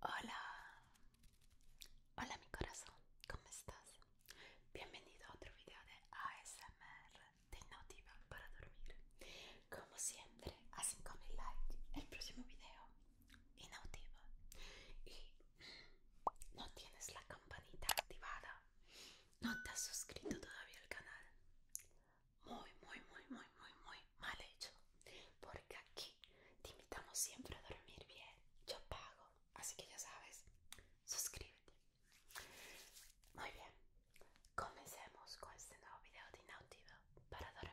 Hola, hola mi corazón, ¿cómo estás? Bienvenido a otro video de ASMR de Nautiva para dormir. Como siempre, a 5000 likes el próximo video y Y no tienes la campanita activada, no te has suscrito todavía al canal. Muy, muy, muy, muy, muy, muy mal hecho, porque aquí te invitamos siempre a dormir bien. Yo pago, así que ya sabes, suscríbete. Muy bien, comencemos con este nuevo video de Inautiva para dormir.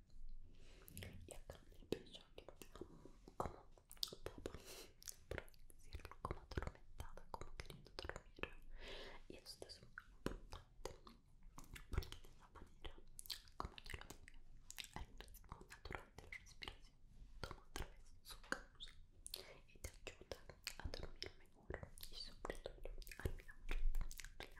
y acá que el pezón como por decirlo como atormentada como queriendo dormir y esto es muy importante porque de esa manera como te lo dije dormir ritmo natural de la respiración toma otra vez su causa y te ayuda a dormir mejor y sobre todo a la mayor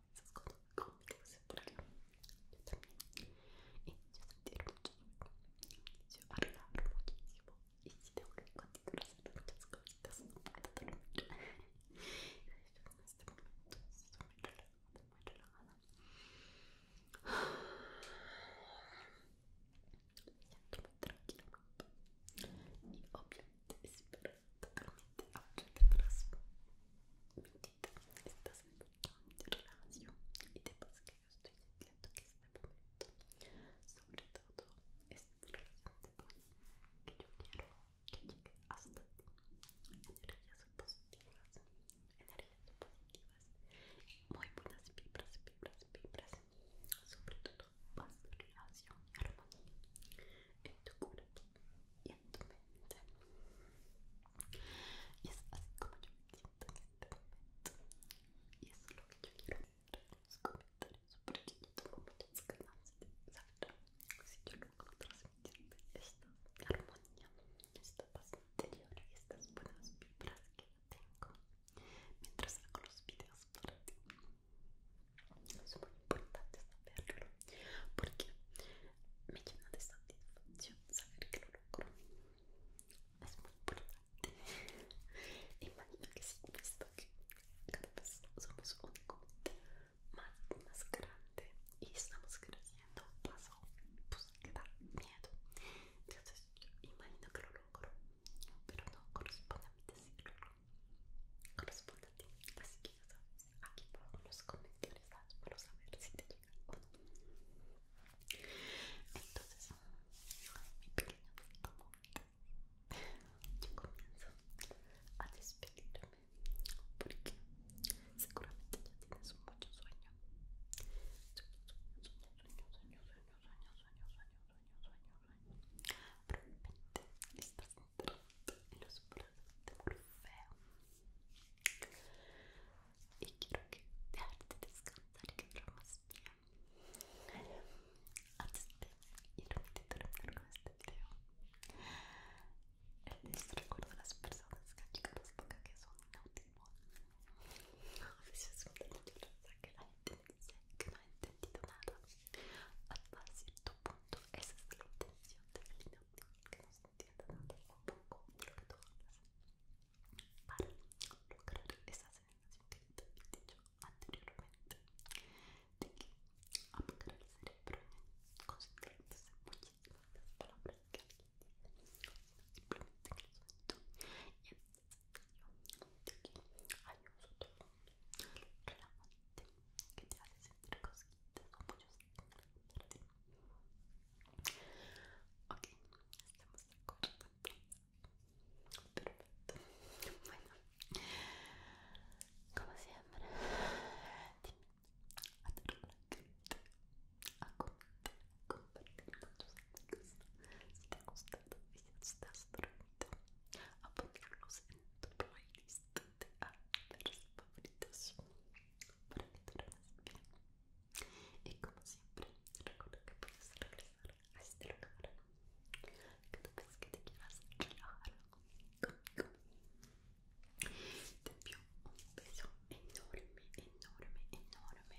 cosas como que se y yo y si tengo que continuar haciendo muchas cosas no puedo dormir en este momento estoy muy relajada y obviamente totalmente ahora te que estás en una relación y te pasa que yo estoy diciendo que este momento sobre todo es una que yo quiero que llegue hasta ti energías positivas energías positivas muy buenas vibras vibras vibras sobre todo paz relación y en tu cuerpo y en tu mente. Y es así como yo me siento en este momento. Y eso es lo que yo quiero ver en los comentarios, porque yo tengo muchas ganas de saber si yo logro transmitirte esta armonía, esta paz interior y estas buenas vibras que yo tengo mientras hago los videos para ti es muy importante saberlo porque me llena de satisfacción saber que lo logro es muy importante imagino que si visto que cada vez somos un comité más, más grande y estamos creciendo más o pues que da miedo entonces yo imagino que lo logro pero no corresponde a mí decirlo corresponde a ti. Así que aquí abajo los comentarios a saber si te llega o no. Entonces, mi pequeño, como yo comienzo a despedirme porque seguramente ya tienes mucho sueño. Sueño, sueño, sueño, sueño, sueño, sueño, sueño, sueño, sueño, sueño, sueño. Probablemente en los planos de Orfeo y quiero que dejarte descansar y que duermas bien antes de irme y terminar con este video el recuerdo a las personas que chicas los boca que son inaudibles a veces me da mucha que la gente dice que no ha entendido nada hasta cierto punto esa es la intención de Melina, que nos entienda tanto un poco de lo que tú hablas para lograr esa sensación que te había dicho anteriormente de que apagar el cerebro y concentrarse muchísimo en las palabras que alguien dice simplemente lo el sonido y de este que hay un sonido relajante que te hace sentir ok estamos de acuerdo perfecto bueno como siempre dime a tu a a si te ha estás dormido a ponerlos en tu playlist te a perros favoritos para que te duermas bien. Y como siempre, recuerda que puedes regresar a este lugar cada vez que te quieras relajar conmigo. Te un beso enorme, enorme, enorme.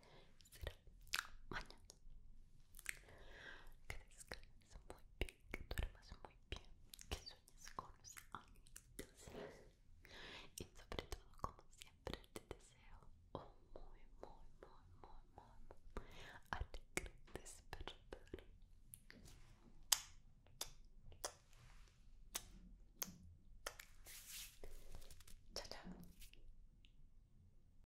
será mañana. Que descanses muy bien, que duermas muy bien, que sueñes con los amigos Y sobre todo, como siempre, te deseo un muy, muy, muy, muy, muy, muy alegre despertar. chao.